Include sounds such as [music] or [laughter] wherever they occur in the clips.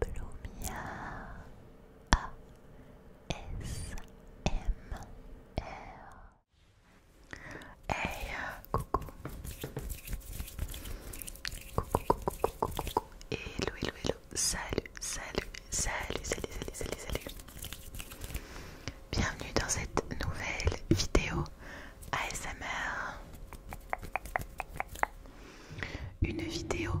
Blumia ASMR Hey uh, coucou Coucou coucou coucou coucou Hello hello hello Salut salut salut salut salut salut salut Bienvenue dans cette nouvelle vidéo ASMR une vidéo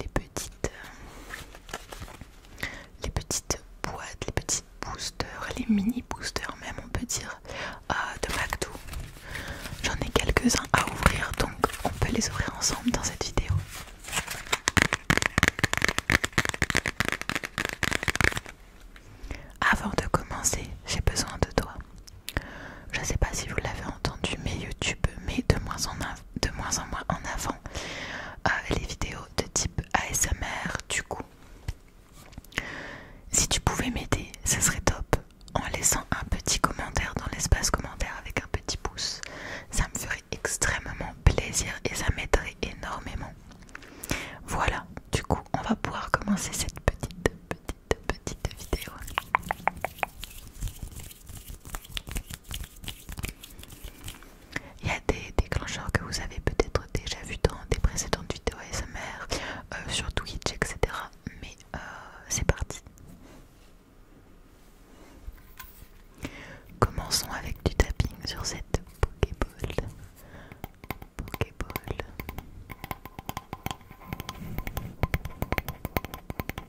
les petites euh, les petites boîtes, les petites boosters, les mini boosters même on peut dire euh, de MacDo J'en ai quelques-uns à ouvrir donc on peut les ouvrir ensemble dans cette vidéo. Avant de commencer, j'ai besoin de toi. Je sais pas si vous l'avez entendu, mais YouTube met de moins en de moins en moins en avant euh, les vidéos de type ASMR du coup. Si tu pouvais m'aider, ça serait top en laissant un petit commentaire dans l'espace commentaire avec un petit pouce. Ça me ferait extrêmement plaisir et ça m'aiderait énormément. Voilà, du coup, on va pouvoir commencer cette petite, petite, petite vidéo. Il y a des déclencheurs que vous avez peut-être déjà vu dans des précédentes vidéos ASMR, euh, sur Twitch, etc. Mais euh, c'est parti. Commençons avec du tapping sur cette Pokéball. Pokéball.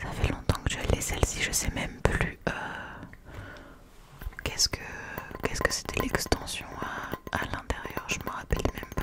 Ça fait longtemps que je l'ai celle-ci, je sais même plus euh, qu'est-ce que qu'est-ce que c'était l'extension à, à l'intérieur, je me rappelle même pas.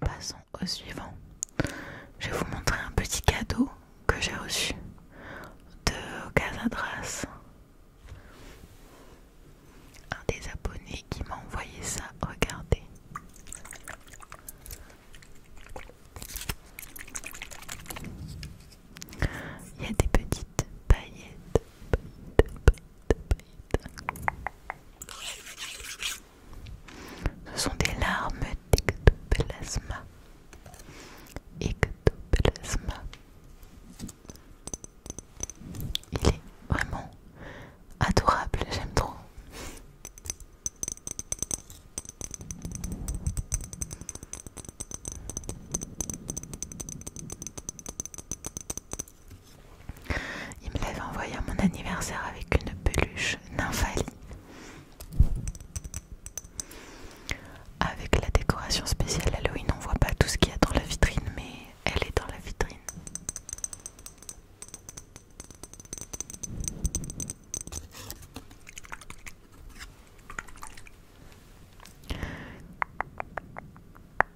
Passons au suivant. Je vais vous montrer un petit cadeau que j'ai reçu de Casadras. Un des abonnés qui m'a envoyé ça, regardez. Il y a des petites paillettes ce sont des larmes d'ectoplasma. Ectoplasma. Il est vraiment adorable, j'aime trop. Il me l'avait envoyé à mon anniversaire avec une peluche Nymphalie. Avec la décoration spéciale Halloween, on voit pas tout ce qu'il y a dans la vitrine, mais elle est dans la vitrine.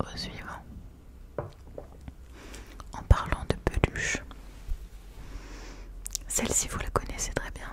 Au suivant. En parlant de peluche, celle-ci vous la connaissez très bien.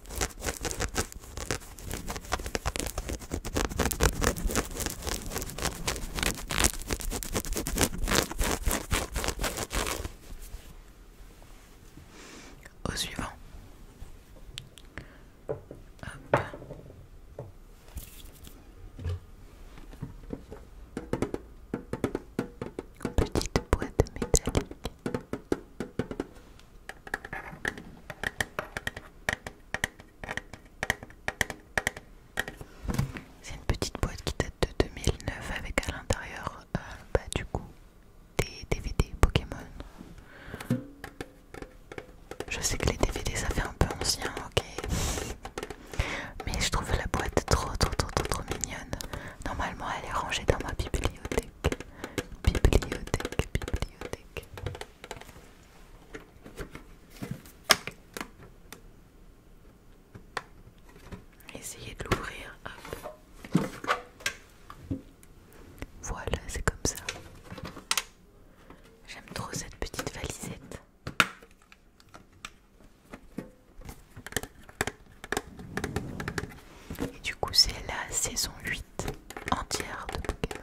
Au suivant. Petite boîte métallique. C'est une petite boîte qui date de 2009 avec à l'intérieur euh, bah, du coup des DVD Pokémon. Je sais que les DVD ça fait un peu ancien, ok. Mais je trouve la boîte trop trop trop trop, trop mignonne. Normalement elle est rangée dans ma bibliothèque. Bibliothèque, bibliothèque. Essayer Essayez de l'ouvrir. Voilà, c'est comme ça. J'aime trop cette petite valisette. Et du coup, c'est la saison 8 entière de Pokémon.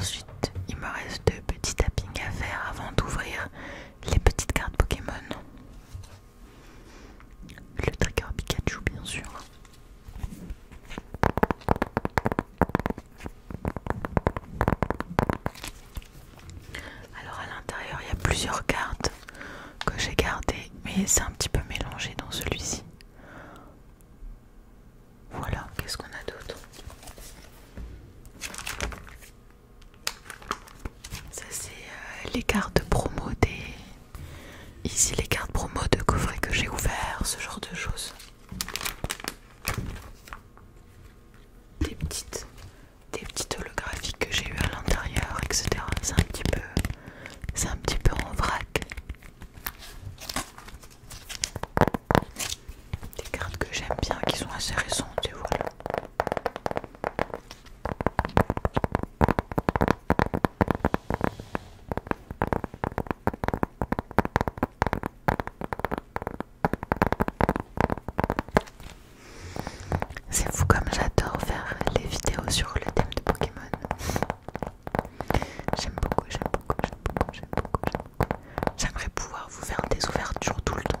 Ensuite, il me reste deux petits tappings à faire avant d'ouvrir les petites cartes Pokémon. Le trigger Pikachu, bien sûr. Alors à l'intérieur, il y a plusieurs cartes que j'ai gardées, mais c'est un petit peu mélangé dans celui-ci. Voilà, qu'est-ce qu'on a d'autre Ça c'est euh, les cartes promo des, Ici les cartes promo de coffrets que j'ai ouvert, ce genre de choses. Des petites, des holographies que j'ai eues à l'intérieur, etc. C'est un petit peu, c'est un petit peu en vrac. Des cartes que j'aime bien, qui sont assez récentes tu voilà. C'est fou comme j'adore faire les vidéos sur le thème de Pokémon. J'aime beaucoup, j'aime beaucoup, j'aime beaucoup, j'aime beaucoup. J'aimerais pouvoir vous faire des ouvertures tout le temps.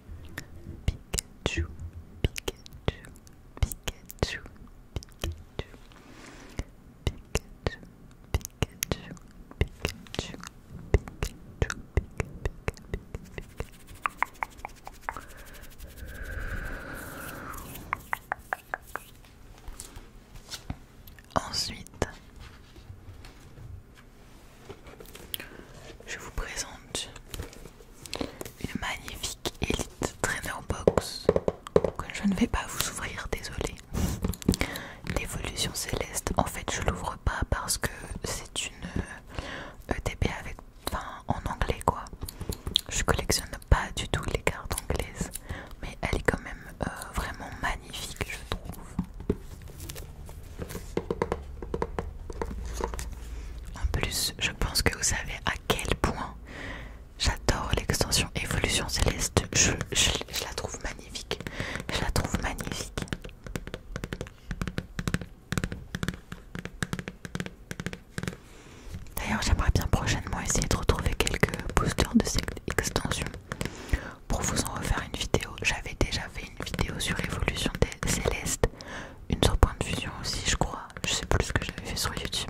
Pikachu, Pikachu, Ensuite, je vous présente une magnifique élite Trainer box que je ne vais pas vous ouvrir, désolé. L'évolution céleste, en fait je l'ouvre pas parce que c'est une ETP euh, e avec, en anglais quoi. Je collectionne pas du tout les cartes anglaises, mais elle est quand même euh, vraiment magnifique je trouve. En plus, je pense que vous savez à quel point j'adore l'extension Évolution Céleste. Je, la trouve magnifique. Je la trouve magnifique. D'ailleurs, j'aimerais bien prochainement essayer de retrouver quelques boosters de cette extension pour vous en refaire une vidéo. J'avais déjà fait une vidéo sur l'évolution des une sur point de fusion aussi je crois je sais plus ce que j'avais fait sur youtube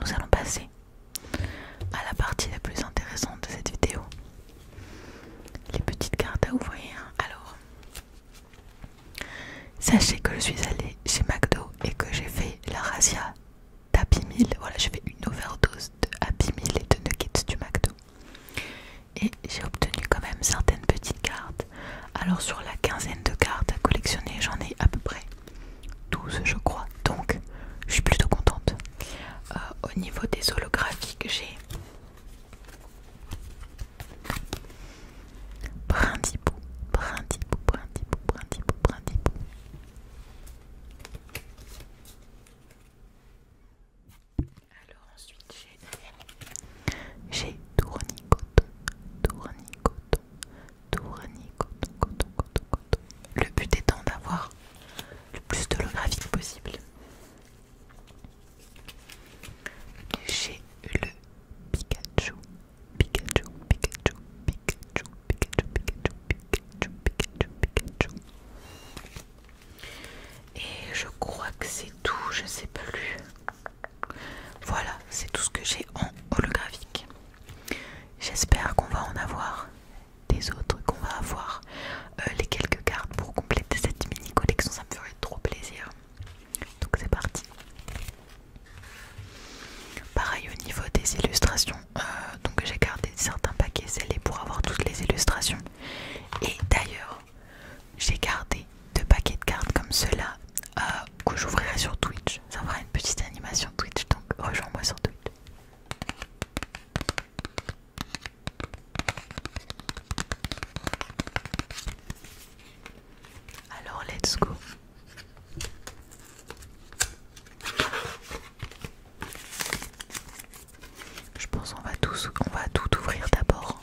nous allons passer à la partie la plus intéressante de cette vidéo. Les petites cartes à ouvrir. Alors, sachez que je suis allée chez McDo et que j'ai fait la razia d'Happy 1000. Voilà, j'ai fait une overdose de Happy Meal et de Nuggets du McDo. Et j'ai obtenu quand même certaines petites cartes. Alors, sur la quinzaine de cartes à collectionner, j'en ai à peu près 12 je crois, donc je suis plutôt contente. Euh, au niveau des holographiques, j'ai Brindibou, Brindibou, Brindibou, Brindibou, Brindibou. Alors ensuite j'ai Tournicoton, Tournicoton, le but étant d'avoir le plus de holographie possible. J'ai le Pikachu, Pikachu, Pikachu, Pikachu, Pikachu, Pikachu, Pikachu, Pikachu, Pikachu. Et je crois que c'est tout, je sais plus. Voilà, c'est tout ce que j'ai en holographique. J'espère qu'on va en avoir des autres, qu'on va avoir euh, les quelques cartes pour compléter cette mini collection, ça me ferait trop plaisir. Donc c'est parti. Pareil au niveau des illustrations, euh, donc j'ai gardé certains paquets scellés pour avoir toutes les illustrations. Et d'ailleurs, j'ai gardé deux paquets de cartes comme ceux-là euh, que j'ouvrirai sur Twitch ça fera une petite animation Twitch, donc rejoins-moi sur Twitch. Alors, let's go. Je pense qu'on va, on va tout ouvrir d'abord.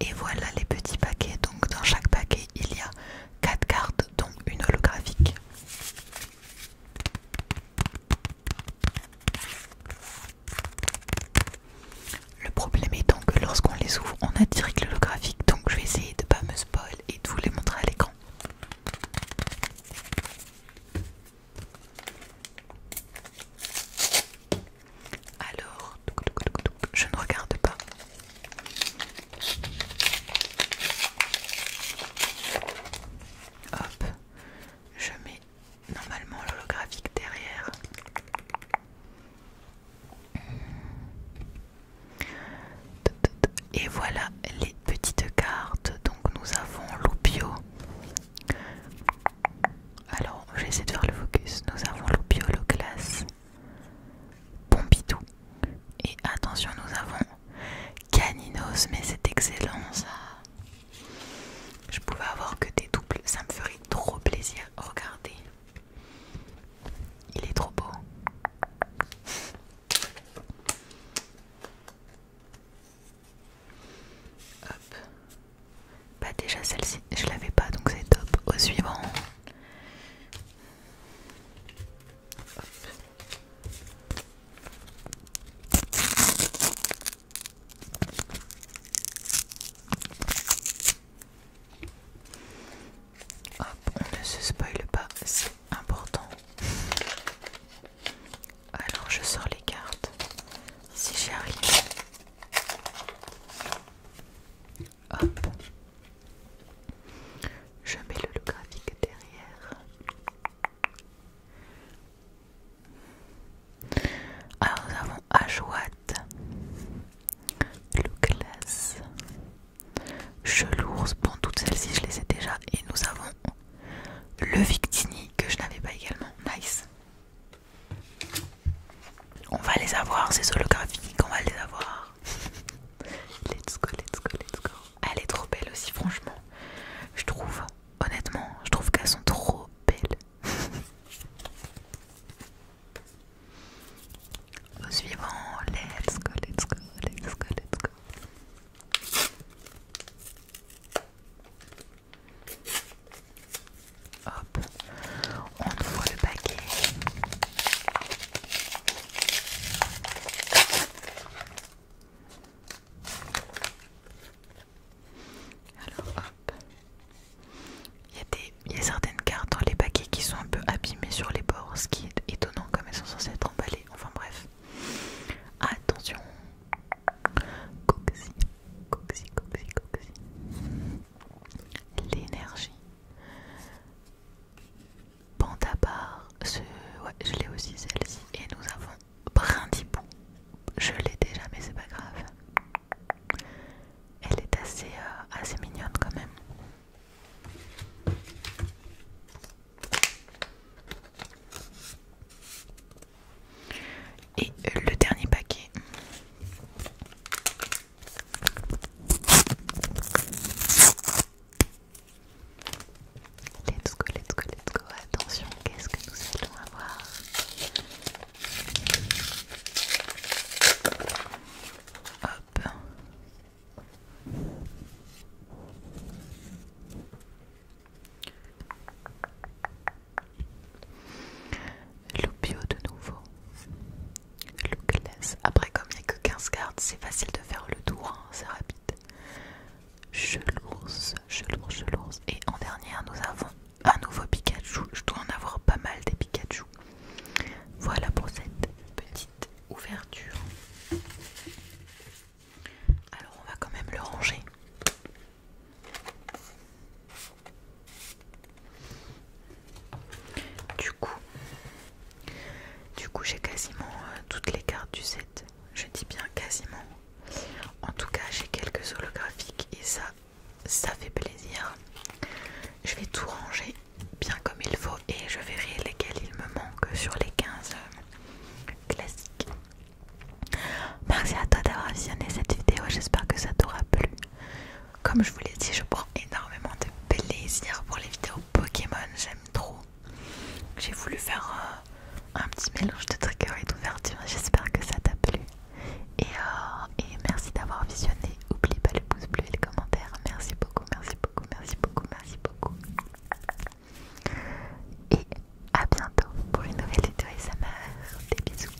Et voilà les petits paquets. Donc dans chaque paquet, il y a 4 cartes dont une holographique. Le problème étant que lorsqu'on les ouvre, on a direct l'holographique. Donc je vais essayer de ne pas me spoil et de vous les montrer à l'écran. Alors, je ne regarde pas. Hop, je mets normalement l'holographique derrière. Et voilà les petites cartes. Donc nous avons Loupio, alors, je vais essayer de faire le focus. Nous avons le classe, Pompidou. Et attention, nous avons Caninos, mais c'est excellent ça. Je pouvais avoir que des doubles, ça me ferait trop plaisir. Regardez, il est trop beau. Pas bah, déjà celle-ci, je l'avais pas donc c'est top. Au suivant. on ne se spoile pas, c'est important. Alors je sors les cartes. Si j'y arrive. Je mets le graphique derrière. Alors nous avons Ashwat, je Chelours. Bon, toutes celles-ci, je les ai déjà. Et nous avons le Victini que je n'avais pas également. Nice. On va les avoir, ces holographiques, on va les avoir. [laughs] let's go, let's go, let's go. Elle est trop belle aussi, franchement. Je trouve, honnêtement, je trouve qu'elles sont trop belles. [laughs] Au suivant, let's go, let's go, let's go, let's go. Hop, on voit le paquet. Alors hop, il y, y a certaines cartes dans les paquets qui sont un peu abîmées sur les bords, ce qui est étonnant comme elles sont censées être emballées. Enfin bref, Attention Coxy, coxy, coxy, coxy. L'énergie. Pantabar, ce... ouais, je l'ai aussi celle-ci. Et nous avons Brindibou. Je l'ai déjà, mais c'est pas grave. Elle est assez, euh, assez mignonne quand même. Et euh, le dernier paquet. Let's go, let's go, let's go. Attention, qu'est-ce que nous allons avoir Hop bio de nouveau. Lookless. Après, comme il n'y a que 15 cartes, c'est facile de faire le tour, hein, c'est rapide. lance, je chelours. Et en dernière, nous avons un nouveau Pikachu. Je dois en avoir pas mal des Pikachu. Voilà pour cette petite ouverture. Alors on va quand même le ranger. Du coup, du coup j'ai quasiment euh, toutes les cartes du set. Je dis bien quasiment. En tout cas, j'ai quelques holographiques et ça, ça fait plaisir. Je vais tout ranger bien comme il faut et je verrai lesquels il me manque sur les 15 euh, classiques. Merci à toi d'avoir visionné cette vidéo, j'espère que ça t'aura plu. Comme je vous l'ai dit, je prends énormément de plaisir pour les vidéos Pokémon, j'aime trop. J'ai voulu faire euh, un petit mélange de trigger et d'ouverture, j'espère que ça t'a plu. Euh, et, merci d'avoir visionné, oublie pas le pouce bleu et les commentaires Merci beaucoup, merci beaucoup, merci beaucoup, merci beaucoup. Et à bientôt pour une nouvelle vidéo SMR. Des bisous.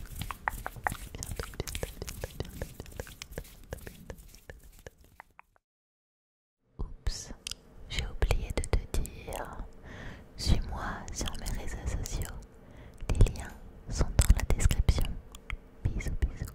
Oups, j'ai oublié de te dire. Suis-moi sur mes réseaux sociaux. Les liens sont dans la description. Bisous, bisous.